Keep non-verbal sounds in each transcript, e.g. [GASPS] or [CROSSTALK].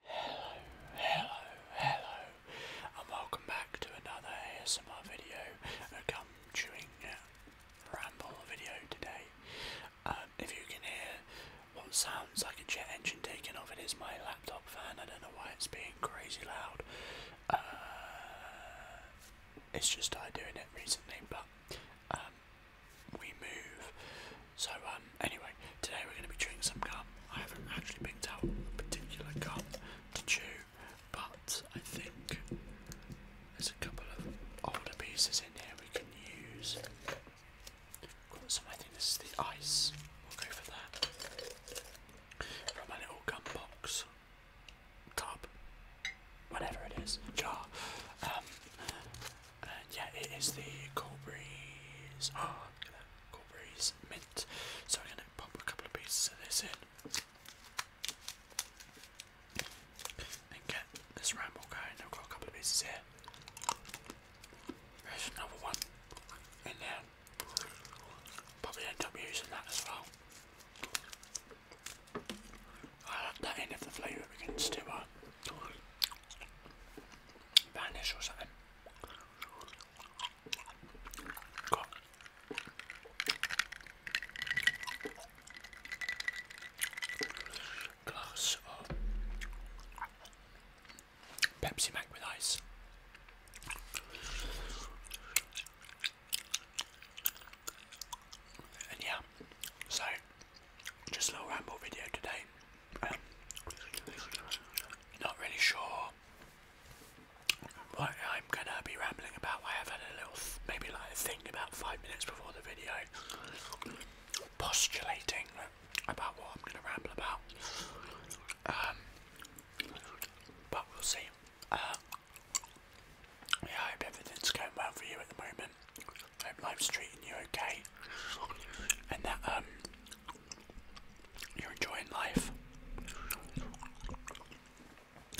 Hello, hello, hello, and welcome back to another ASMR video, a gum chewing uh, ramble video today. Um, if you can hear what sounds like a jet engine taking off, it is my laptop fan. I don't know why it's being crazy loud. Uh, it's just I doing it recently, but um, we move so um, anyway, today we're going to be chewing some gum. I haven't actually picked out a particular gum to chew, but I think there's a couple of older pieces in here we can use. Got some, I think this is the ice. We'll go that. From a little gum box, tub, whatever it is, jar. Um, yeah, it is the Colbury's. Oh, [GASPS] look at that mint. So I'm gonna pop a couple of pieces of this in and get this ramble going. I've got a couple of pieces here. There's another one in there. Probably end up using that as well. I'll that in if the flavour begins to uh, vanish or something. God. Glass of Pepsi Mac with ice. And yeah, so just a little ramble video today not really sure what I'm gonna be rambling about. I have had a little, maybe like a thing about five minutes before the video, postulating about what I'm gonna ramble about. Um, but we'll see. Uh, I hope everything's going well for you at the moment. I hope life's treating you okay. And that um you're enjoying life.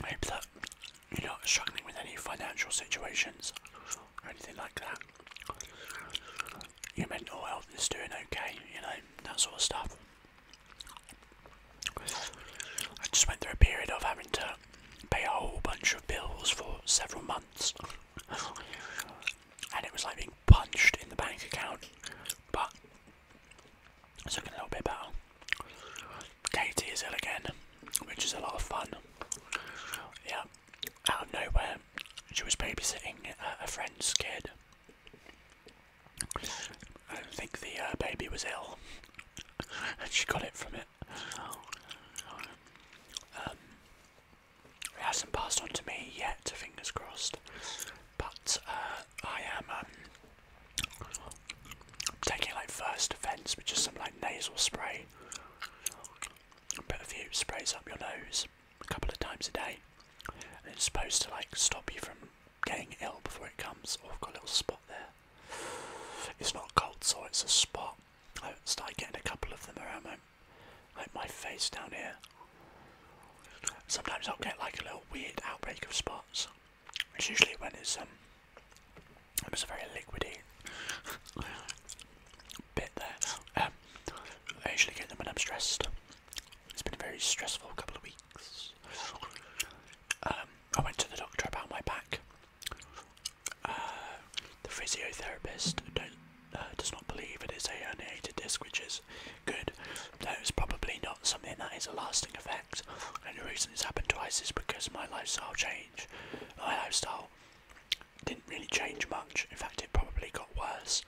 I hope that you're not struggling with any financial situations or anything like that. Your mental health is doing okay, you know, that sort of stuff. I just went through a period of having to pay a whole bunch of bills for several months and it was like being punched in the bank account. But it's looking a little bit better. Katie is ill again, which is a lot of fun. Yeah, out of nowhere, she was babysitting a friend's kid. I don't think the uh, baby was ill, and she got it from it. Um, it hasn't passed on to me yet, fingers crossed. But uh, I am um, taking like first defence, which is some like nasal spray. But a few sprays up your nose a couple of times a day, and it's supposed to like stop you from getting ill before it comes. Oh, I've got a little spot there. It's not cold so it's a spot. I started getting a couple of them around my like my face down here. Sometimes I'll get like a little weird outbreak of spots. It's usually when it's um it was a very liquidy bit there. Um, I usually get them when I'm stressed. It's been a very stressful couple of weeks. Um, I went to the doctor about my back. Uh, the physiotherapist don't uh, does not believe it is a herniated disc, which is good. That is probably not something that is a lasting effect. And the reason it's happened twice is because my lifestyle changed. My lifestyle didn't really change much. In fact, it probably got worse,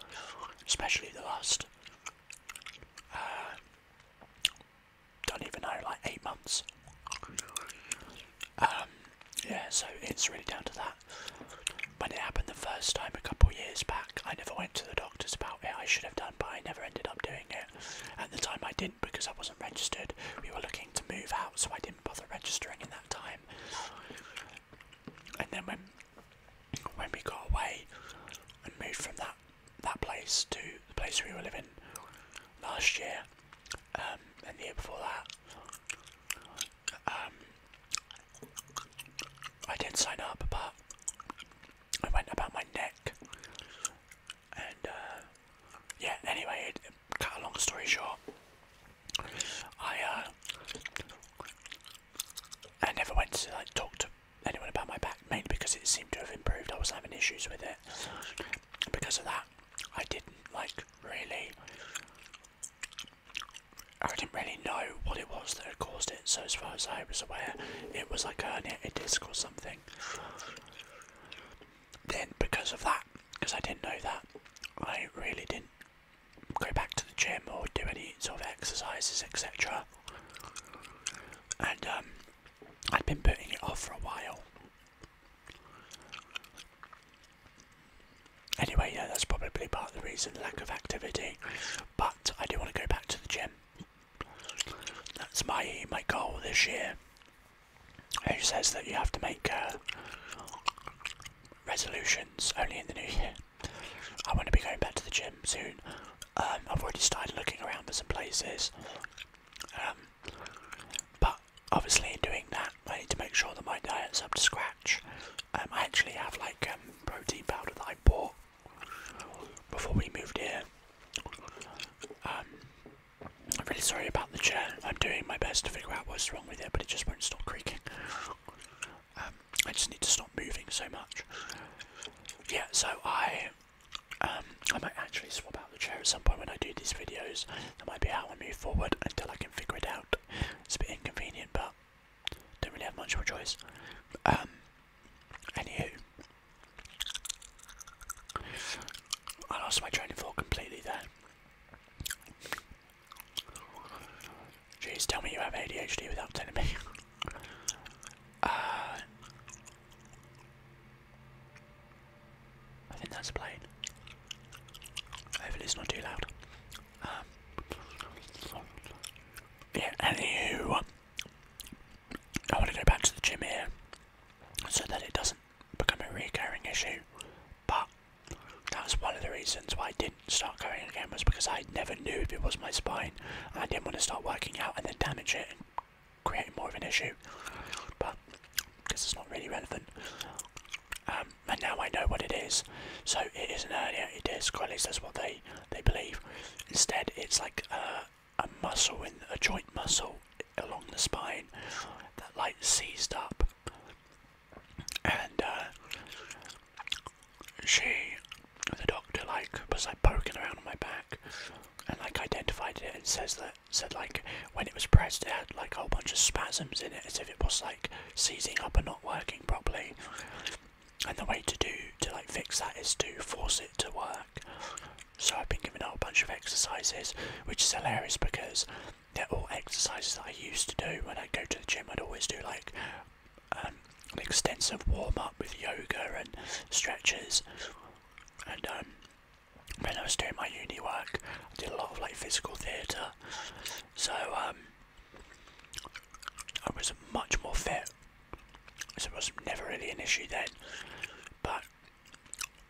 especially the last. Uh, don't even know, like eight months. Um, yeah, so it's really down to that. When it happened the first time a couple years back, I never went to the doctors about it. I should have done, but I never ended up doing it. At the time, I didn't because I wasn't registered. We were looking to move out, so I didn't bother registering in that time. And then when when we got away and moved from that that place to the place we were living last year um, and the year before that, um, I did sign up, but I went about my neck, and uh, yeah. Anyway, it, cut a long story short, I uh, I never went to like talk to anyone about my back, mainly because it seemed to have improved. I was having issues with it, because of that, I didn't like really I didn't really know what it was that had caused it, so as far as I was aware, it was like a, a disc or something. Then, because of that, because I didn't know that, I really didn't go back to the gym or do any sort of exercises, etc. And um, I'd been putting it off for a while. Anyway, yeah, that's probably part of the reason, lack of activity. But I do want to go back to the gym. That's my my goal this year. Who says that you have to make uh, resolutions only in the new year? I want to be going back to the gym soon. Um, I've already started looking around for some places. Um, but obviously, in doing that, I need to make sure that my diet's up to scratch. Um, I actually have like um, protein powder that I bought before we moved here. Um, I'm really sorry about the chair. I'm doing my best to figure out what's wrong with it, but it just won't stop creaking. Um, I just need to stop moving so much. Yeah, so I, I might actually swap out the chair at some point when I do these videos. That might be how I move forward until I can figure it out. It's a bit inconvenient, but don't really have much of a choice. Um, anywho, I lost my train of thought completely there. Jeez, tell me you have ADHD without telling me. [LAUGHS] Uh, I think that's a plane. Hopefully it's not too loud yeah, anywho, I want to go back to the gym here so that it doesn't become a recurring issue. But that was one of the reasons why I didn't start going again was because I never knew if it was my spine I didn't want to start working out and then damage it and create more of an issue. But because it's not really relevant. Um, and now I know what it is. So it is isn't hernia, it is, or at least that's what they they believe. Instead, it's like a, muscle in a joint muscle along the spine that like seized up, and uh, she, the doctor, like was like poking around on my back, and like identified it and says that said like when it was pressed, it had like a whole bunch of spasms in it, as if it was like seizing up and not working properly and the way to do to like fix that is to force it to work. So I've been giving out a bunch of exercises, which is hilarious because they're all exercises that I used to do when I would go to the gym. I'd always do like an um, extensive warm up with yoga and stretches, and um, when I was doing my uni work, I did a lot of like physical theatre. So um, I was much more fit, so it was never really an issue then. But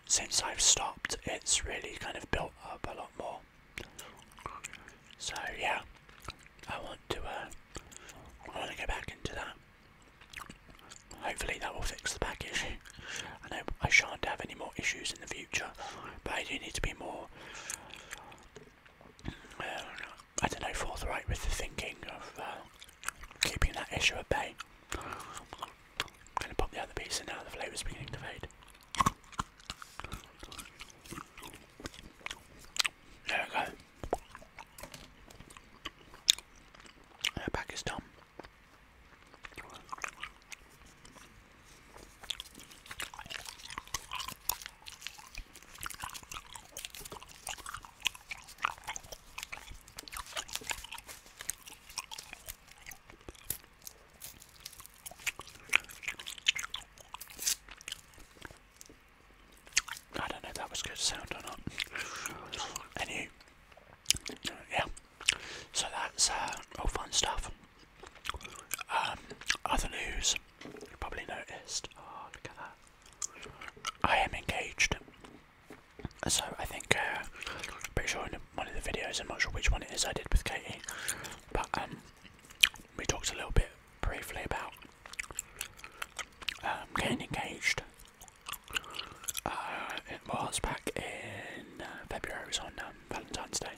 since I've stopped, it's really kind of built up a lot more. So yeah, I want to. Uh, I want to go back into that. Hopefully that will fix the back issue. I I shan't have any more issues in the future, but I do need to be more um, I don't know, forthright with the thinking of uh, keeping that issue at bay. going to pop the other piece in now, the flavour's beginning to fade. There we go. Her back is done. I don't know if that was good sound or not. Anyway, yeah. So that's uh, all fun stuff. Um, other news, you probably noticed. Oh, look at that. I am engaged. So I think, uh, I'm pretty sure in one of the videos, I'm not sure which one it is I did with Katie, but um, we talked a little bit briefly about um, getting engaged. Uh, it was back in uh, February, it was on um, Valentine's Day.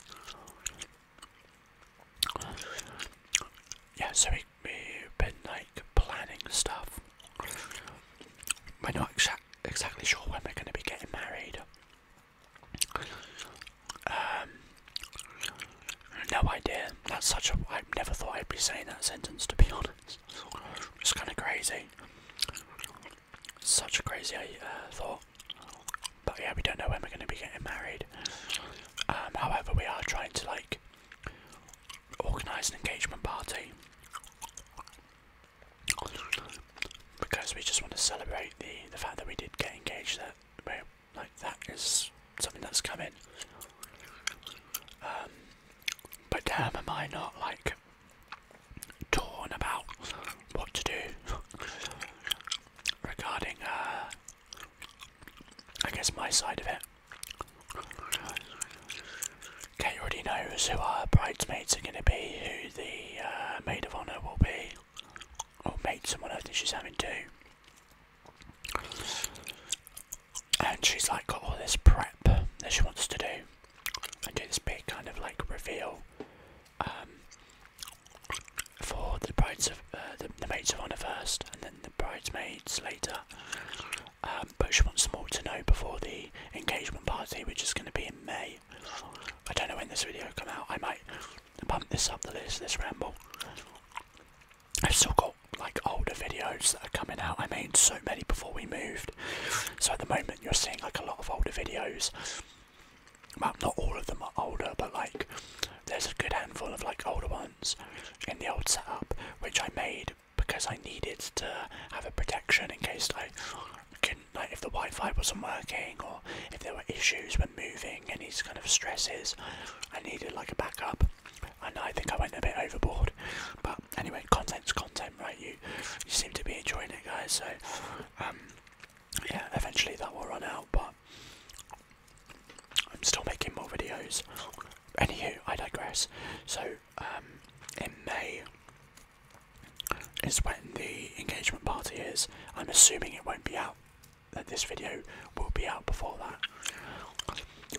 Yeah, so we, have been like planning stuff. We're not exactly sure when we're going to be getting married. Um, no idea. That's such a. I never thought I'd be saying that sentence to be [LAUGHS] honest. It's kind of crazy. Such a crazy uh, thought. But yeah, we don't know when we're going to be getting married. Um, however, we are trying to like organise an engagement party because we just want to celebrate the the fact that we did get engaged. That we like that is something that's coming. Um, but damn, am I not like torn about what to do [LAUGHS] regarding uh, I guess my side of it. Kate already knows who our bridesmaids are going to be, who the uh, maid of honour will be, or mate, someone else that she's having to. And she's like got all this prep that she wants to do, and do this big kind of like reveal um, for the brides of uh, the, the maids of honour first, and the bridesmaids later. Um, but she wants more to know before the engagement party, which is going to be in May. I don't know when this video come out. I might bump this up the list, this ramble. I've still got like older videos that are coming out. I made so many before we moved. So at the moment you're seeing like a lot of older videos. Well, not all of them are older, but like there's a good handful of like older ones in the old setup which I made because I needed to have a protection in case I couldn't like if the Wi-Fi wasn't working or if there were issues when moving any kind of stresses I needed like a backup and I think I went a bit overboard but anyway content's content right you you seem to be enjoying it guys so um, yeah eventually that will run out but I'm still making more videos. Anywho, I digress. So, um, in May is when the engagement party is. I'm assuming it won't be out, that this video will be out before that.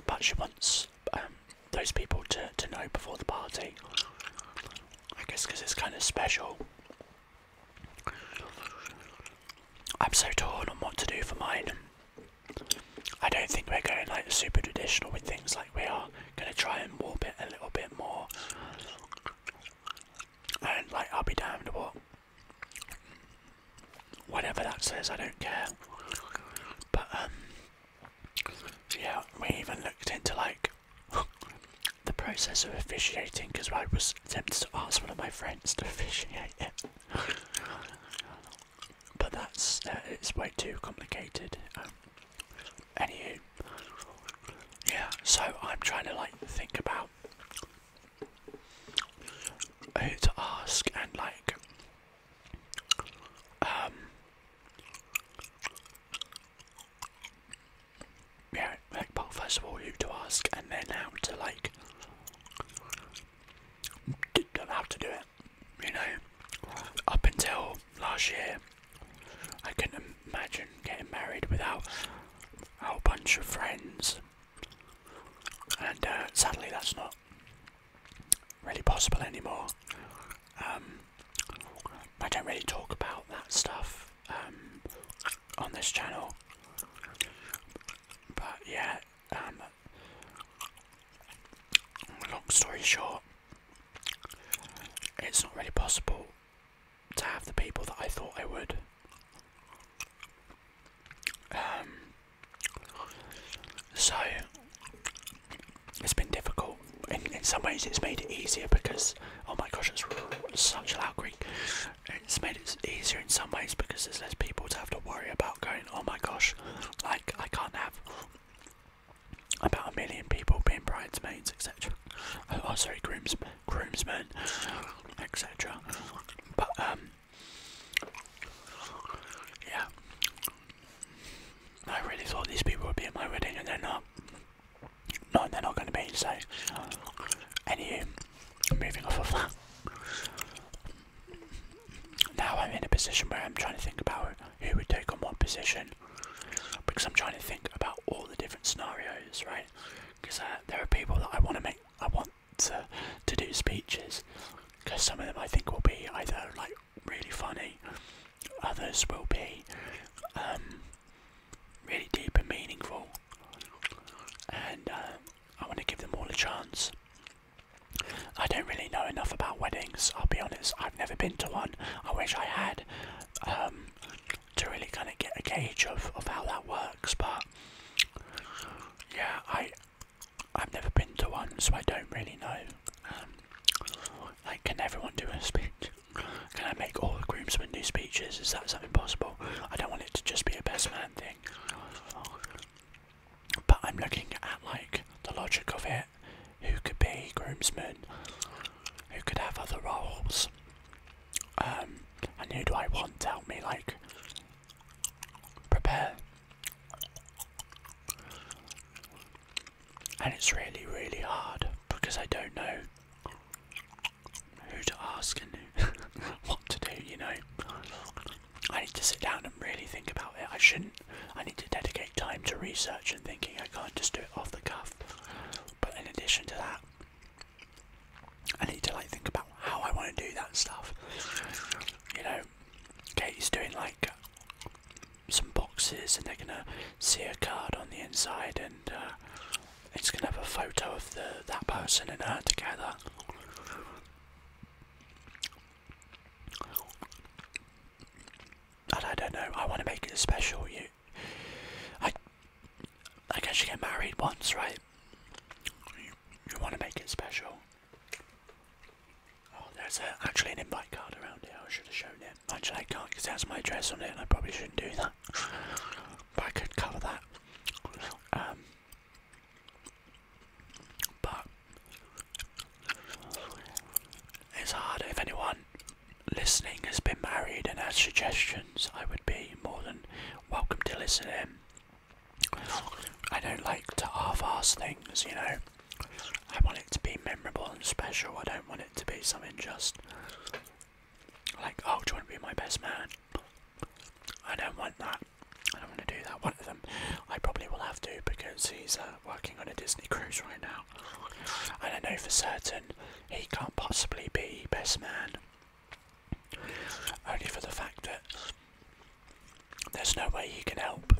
But she wants um, those people to, to know before the party. I guess because it's kind of special. I'm so torn on what to do for mine. I don't think we're going like super traditional with things like we are gonna try and warp it a little bit more and like I'll be damned what whatever that says I don't care but um yeah we even looked into like [LAUGHS] the process of officiating because I was tempted to ask one of my friends to officiate it but that's uh, it's way too complicated. Um, anywho, yeah. So I'm trying to like think about who to ask and like um yeah like first of all who to ask and then how to like don't know to do it. You know, up until last year, I couldn't imagine getting married without a whole bunch of friends, and uh, sadly, that's not really possible anymore. Um, I don't really talk about that stuff um, on this channel, but yeah, um, Long story short, it's not really possible to have the people that I thought I would. Um, so it's been difficult. In, some ways, it's made it easier because oh my gosh, it's such a loud creak. It's made it easier in some ways because there's less people to have to worry about going, oh my gosh, like I can't have about a million people being bridesmaids, etc. Oh, oh, sorry, grooms, groomsmen, etc. But um, yeah, I really thought these people would be at my wedding, and they're not. No, they're not going to be. So, anywho, moving off of that now I'm in a position where I'm trying to think about who we take on what position because I'm trying to think about all the different scenarios, right? Because uh, there are people that I want to make, I want to, do speeches because some of them I think will be either like really funny, others will be um, really deep and meaningful, and uh, I want to give them all a chance. I don't really know enough about weddings, I'll be honest. I've never been to one. I wish I had um, to really kind of get a gauge of, of how that works, but yeah, I, I've never been to one, so I don't really know. Um, like, can everyone do a speech? Can I make all the groomsmen do speeches? Is that something possible? I don't want it to just be a best man thing. But I'm looking at like the logic of it. Who could be groomsmen? Who could have other roles? Um, and who do I want to help me like prepare? And it's really, really hard because I don't know who to ask and [LAUGHS] what to do, you know. I need to sit down and really think about it. I shouldn't. I need to dedicate time to research and thinking. I can't just do it off the cuff. But in addition to that, I need to like think about how I want to do that stuff. You know, Katie's doing like some boxes, and they're gonna see a card on the inside, and uh, it's gonna have a photo of the that person and her together. I don't know, I want to make it special. You, I, I guess you get married once, right? You, want to make it special. Oh, there's actually an invite card around here. I should have shown it. Actually, I can't because it my address on it, and I probably shouldn't do that. But I could cover that. Um, but it's hard. If anyone listening has been married and has suggestions, I would be more than welcome to listen in. I don't like to half-ass things, you know. I want it to be memorable and special. I don't want it to be something just like, oh, do you want to be my best man? I don't want that. I don't want to do that. One of them, I probably will have to because he's uh, working on a Disney cruise right now. I don't know for certain he can't possibly be best man. Only for the fact that there's no way he can help.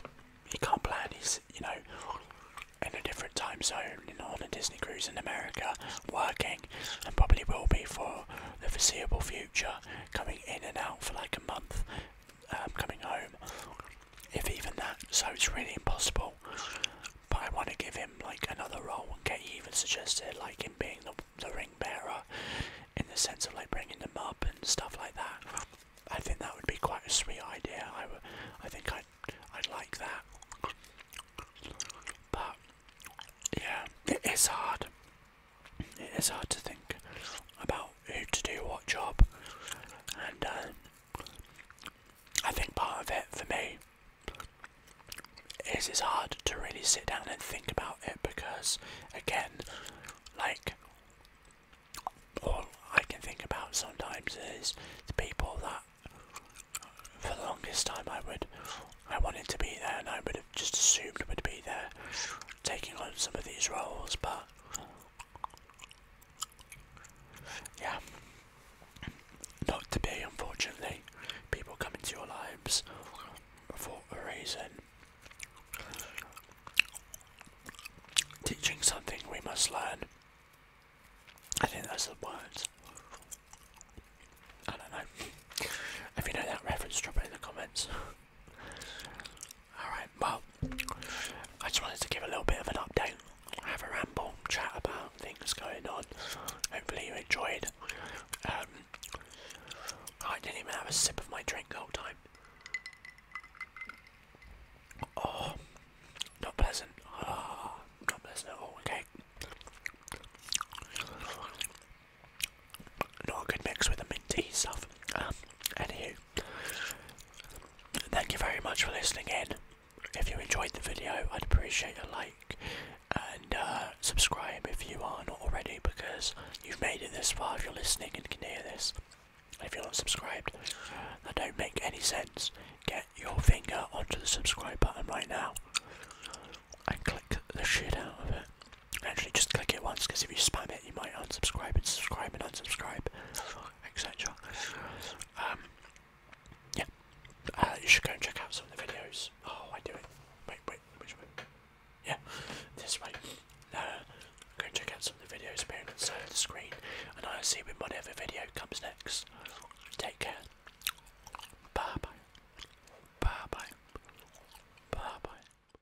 He can't plan. He's, you know, in a different time zone, you on a Disney cruise in America, working, and probably will be for the foreseeable future, coming in and out for like a month, um, coming home, if even that. So it's really impossible. But I want to give him like another role, and get even suggested like him being the, the ring bearer, in the sense of like bringing them up and stuff like that. I think that would be quite a sweet idea. I think I'd, I'd like that. But yeah, it is hard it is hard to think about who to do what job, and um, I think part of it for me is it's hard to really sit down and think about it because, again, like all I can think about sometimes is the people that for the longest time I would I wanted to be there and I would have just assumed would be there taking on some of these roles, but yeah, not to be, unfortunately. People come into your lives for a reason. Teaching something we must learn. I think that's the words. I don't know. If you know that reference, drop it in the comments. Alright, well, I just wanted to give a little bit of an update, have a ramble, chat about things going on. Hopefully, you enjoyed. Um, I didn't even have a sip of my drink the whole time. Oh, not pleasant. Ah, not pleasant at all, okay? Not a good mix with the minty stuff. Um, anywho, thank you very much for listening in. If you enjoyed the video, I'd appreciate a like and uh, subscribe if you are not already because you've made it this far if you're listening and can hear this. If you're not subscribed, that don't make any sense. Get your finger onto the subscribe button right now and click the shit out of it. Actually, just click it once because if you spam it, you might unsubscribe and subscribe and unsubscribe, etc. Um, yeah, uh, you should go and check out some of the videos. Oh, I do it. Wait, wait, which way? Yeah, this way. No, uh, go and check out some of the videos appearing on the screen, and I'll see you in whatever video comes next. Take care. Bye bye. Bye bye. Bye bye.